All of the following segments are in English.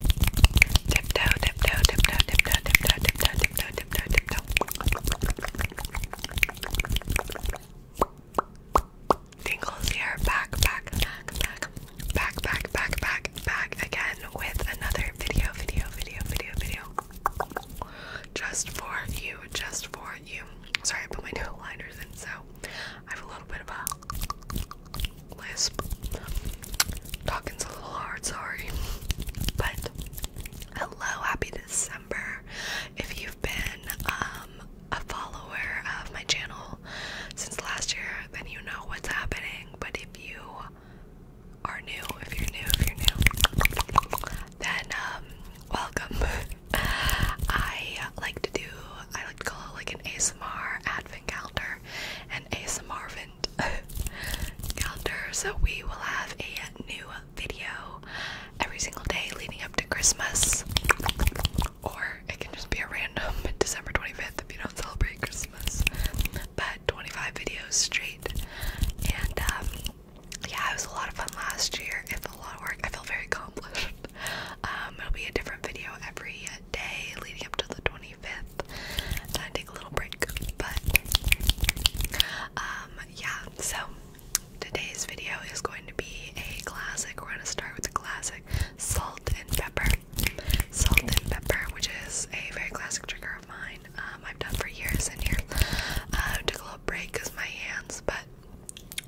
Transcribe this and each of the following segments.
Tiptoe, here, back, back, back, back, back, back, back, back, back again with another video, video, video, video, video. Just for you, just for you. Sorry, I put my new liners in, so I have a little bit of a lisp. Talking's a little hard, sorry. But hello, happy December. If you've been um, a follower of my channel since last year, then you know what's happening. But if you are new, if you're new, if you're new, then um, welcome. I like to do I like to call it like an ASMR advent calendar, an ASMR content So we will have a new video every single day leading up to Christmas. Or it can just be a random December 25th if you don't celebrate Christmas. But 25 videos straight. And um, yeah, it was a lot of fun last year. It was a lot of work. I felt very accomplished. Um, it'll be a different video every day leading up to the 25th. Gonna take a little break. But um, yeah, so today's video is going to be a classic. We're gonna start with the classic salt and pepper. Salt and pepper, which is a very classic trigger of mine. Um, I've done for years and here. Uh, took a little break because my hands, but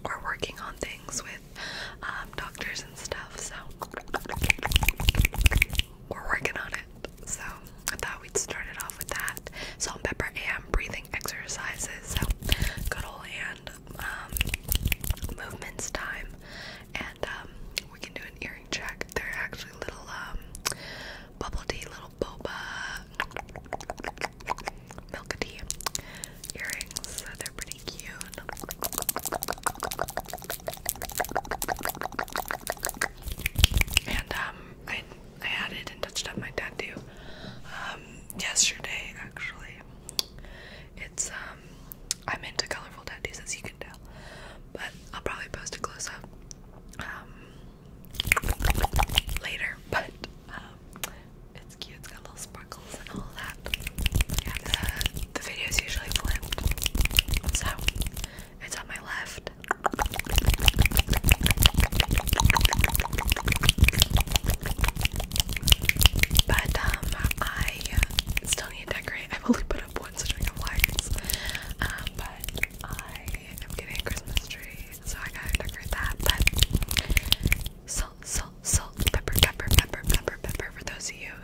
we're working on things with um, doctors and stuff. So we're working on it. So I thought we'd start it off with that salt and pepper and breathing exercises. So good old hand um, movements time, and um, we can do an earring check. They're actually little bubble tea, little boba, milk tea earrings. So they're pretty pretty cute. And um, I I added and touched up my tattoo um yesterday actually. It's um I'm into colorful tattoos as you can tell, but I'll probably post a close up um later. But um, it's cute. It's got little sparkles and all that. Uh, the video is usually flipped, so it's on my left. But um, I still need to decorate. I've only put up one string of lights, um, but I am getting a Christmas tree, so I gotta decorate that. But salt, salt, salt, pepper, pepper, pepper, pepper, pepper. For those of you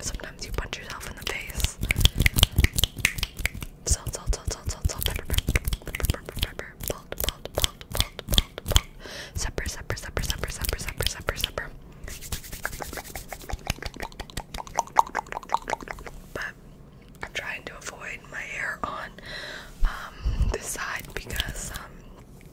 Sometimes you punch yourself in the face. Salt, salt, salt, salt, salt, salt, pepper, pepper, pepper, pepper, pepper, salt, salt, salt, salt, But I'm trying to avoid my hair on um, this side because um,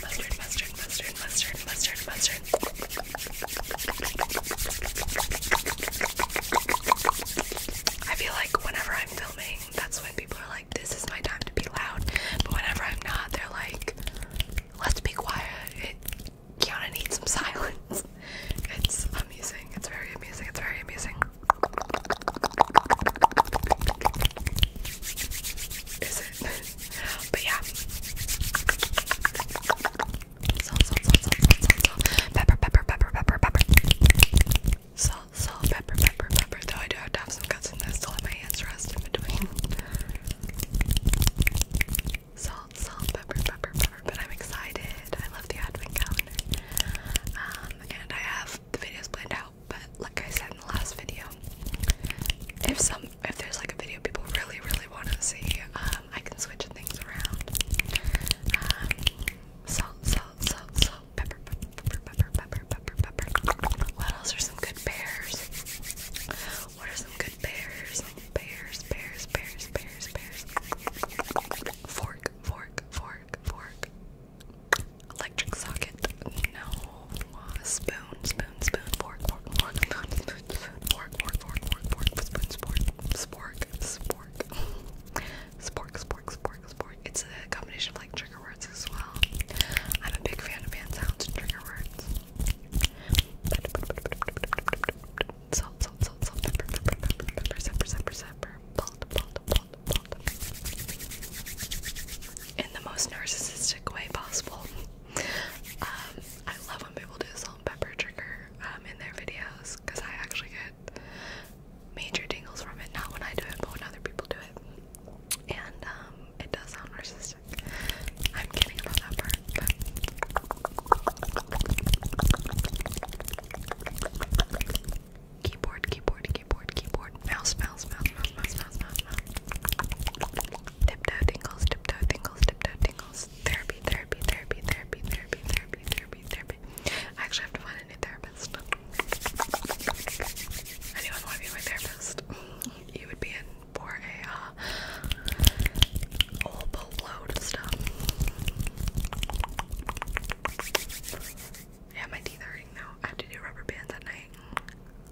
mustard, mustard, mustard, mustard, mustard, mustard, mustard. I feel like whenever I'm filming, that's when people are like, "This is my time to be loud," but whenever I'm not, they're like, "Let's be quiet." It, Kiana needs some silence. It's amusing. It's very amusing. It's very amusing. Is it? but yeah. Salt, salt, salt, salt, salt, salt, pepper, pepper, pepper, pepper, pepper. Salt, salt, pepper, pepper, pepper. Though I do have to have some cuts in this to let my hands rest in between. Salt, salt, pepper, pepper, pepper. But I'm excited. I love the advent calendar. Um, and I have the videos planned out, but like I said in the last video, if some um, if there's like a video people really, really want to see, um, I can switch things around. Um, salt, salt, salt, salt, pepper, pepper, pepper, pepper, pepper, pepper. What else are some good pears? What are some good pears? Pears, pears, pears, pears, pears. Fork, fork, fork, fork. Electric socket. No spoon, spoon, spoon, fork, fork, fork, spoon, spoon, spoon, fork, fork, fork, fork, fork, spoon, spork, spork, spork, spork, spork, spork, spork. It's a combination of like trigger words as well. I'm a big fan of hand and trigger words. Salt, salt, salt, salt, pepper, pepper, pepper, pepper, salt, salt, salt, salt. In the most narcissistic way possible. Um, I love when people do salt and pepper trigger um, in their videos because I actually get major tingles from it. Not when I do it, but when other people do it. And um, it does sound narcissistic. I'm kidding about that part, Keyboard, keyboard, keyboard, keyboard, mouse, mouse, mouse, mouse, mouse, smell, smell, smell. Tiptoe tingles, tiptoe tingles, tiptoe tingles. Therapy, therapy, therapy, therapy, therapy, therapy, therapy, therapy. I actually have to find a new therapist. Anyone want to be my therapist? You would be in for a uh, whole load of stuff. Yeah, my teeth are hurting now. I have to do rubber bands at night.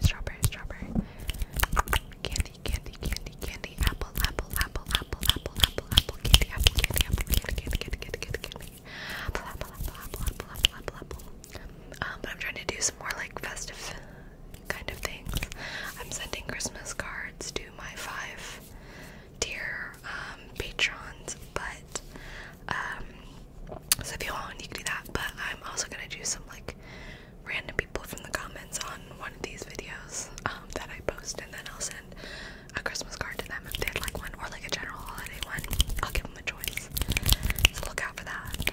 strawberry, strawberry, strawberry. Candy, candy, candy, candy. Apple, apple, apple, apple, apple, apple, apple. Candy, apple, candy, apple, candy, candy, candy, candy, candy, candy. Apple, apple, apple, apple, apple, apple, apple, apple. Um, but I'm trying to do some more like festive kind of things. I'm sending Christmas cards to my five dear um, patrons, but um, so if you want, you can do that. But I'm also gonna do some like random people from the comments on one of these videos um, that I post, and then I'll send a Christmas card to them if they'd like one, or like a general holiday one. I'll give them a choice. So look out for that.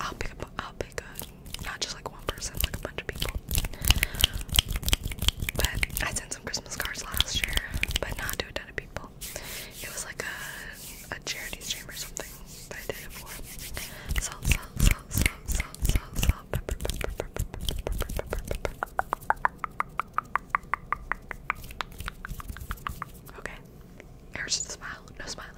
I'll pick up. I'll pick a not just like one person, like a bunch of people. But I sent some Christmas cards last year, but not to a ton of people. It was like a, a charity stream or something, but I did it Okay, here's just smile, no smiling.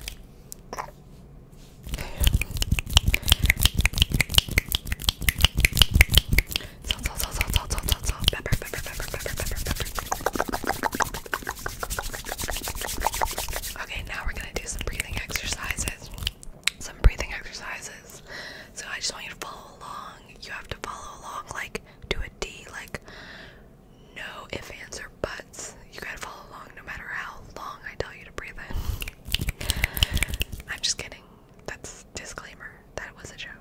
Okay, now we're gonna do some breathing exercises. Some breathing exercises. So I just want you to follow along. You have to follow along, like do a D, like no ifs, ands, or buts. You gotta follow along no matter how long I tell you to breathe in. I'm just kidding. That's disclaimer. That was a joke.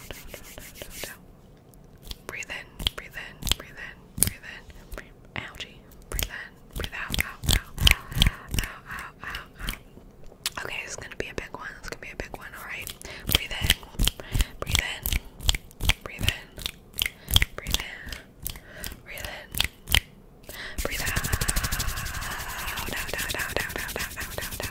out, out, Breathe in, breathe in, breathe in, breathe Algae. Breathe in, breathe out, out, out, out, out, out, out. Okay, it's gonna be a big one. It's gonna be a big one. All right. Breathe in, breathe in, breathe in, breathe in, breathe in, breathe out, out, out, out, out, out, out, out, out, out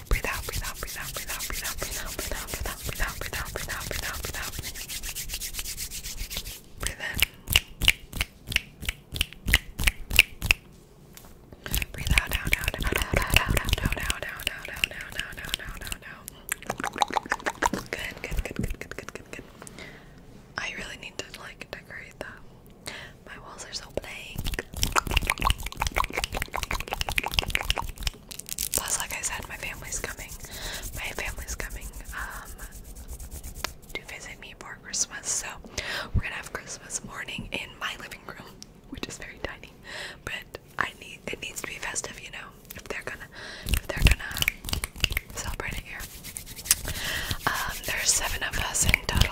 out, breathe out, breathe out, breathe out, breathe out, breathe out, breathe out, breathe out, breathe out, breathe out, breathe out, breathe out, breathe out, breathe out. Breathe in. Breathe out, out, out, out, out, out, out, out, out, out, out, out, out, out, out, out, out. Good, good, good, good, good, good, good, good. I really need to like decorate that. My walls are so blank. Plus, like I said, my family's coming. My family's coming um, to visit me for Christmas. So, we're gonna have Christmas morning in my living room, which is very tiny. But I need it needs to be festive, you know. If they're gonna, if they're gonna celebrate it here. Um, there's seven of us in total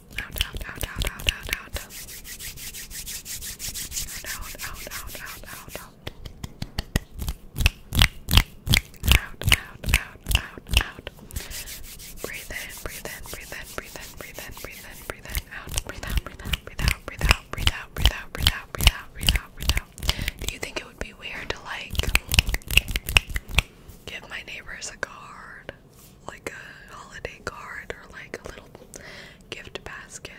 out, out, out, out, out, out, out, out, out, out, out, out, out. Out, out, out, out, out. Breathe in, breathe in, breathe in, breathe in, breathe in, breathe in, breathe in, out, breathe out, breathe out, breathe out, breathe out, breathe out, breathe out, breathe out, breathe out, breathe out, breathe out. Do you think it would be weird to like give my neighbors a card? like a holiday card or like a little gift basket.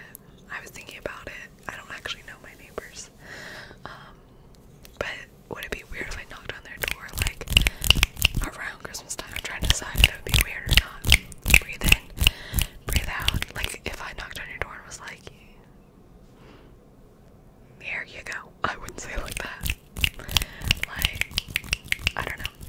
I was thinking about it. I don't actually know my neighbors. Um, but would it be weird if I knocked on their door like around Christmas time? I'm trying to decide if it would be weird or not. Breathe in, breathe out. Like if I knocked on your door and was like, "Here you go," I wouldn't say like that. Like I don't know.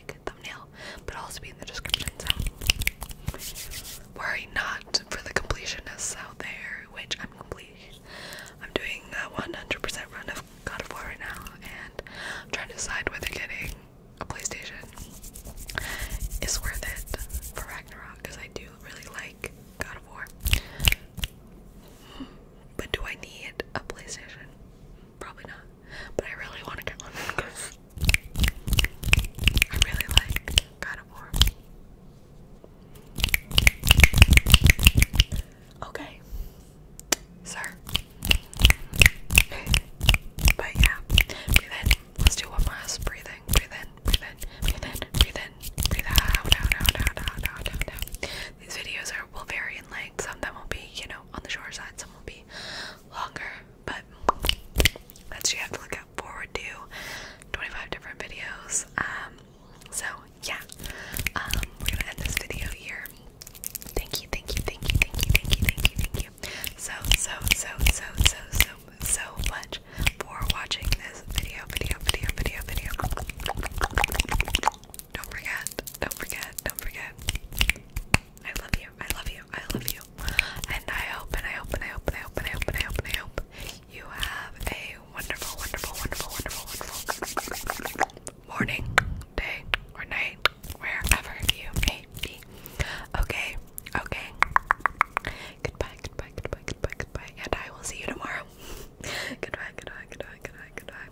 i worry not for the completionists out there, which I'm complete. I'm doing a 100% run of God of War right now, and I'm trying to decide whether getting a PlayStation is worth it for Ragnarok because I do really like God of War. Hmm. But do I need a PlayStation? Probably not but I really want to get one because I really like God of War. Okay, sir. But yeah, breathe in. Let's do one last breathing. Breathe in, breathe in, breathe in, out, out, out, out, out, out, out, out. These videos are will vary in length. Some of them will be, you know, on the shorter side. Some will be longer. But that's what you have to look out forward to. 25 different videos. Um, so yeah, um, we're gonna end this video here. Thank you, thank you, thank you, thank you, thank you, thank you, thank you. So so so so so so so much for watching this video, video, video, video, video don't forget, don't forget, don't forget. I love you, I love you, I love you. And I hope, and I hope, and I hope, and I hope, and I hope, and I hope, and I hope you have a wonderful, wonderful, wonderful, wonderful, wonderful morning, day, or night, wherever you may be. Okay, okay. Goodbye, goodbye, goodbye, goodbye, goodbye, and I will see you tomorrow. goodbye, goodbye, goodbye, goodbye, goodbye.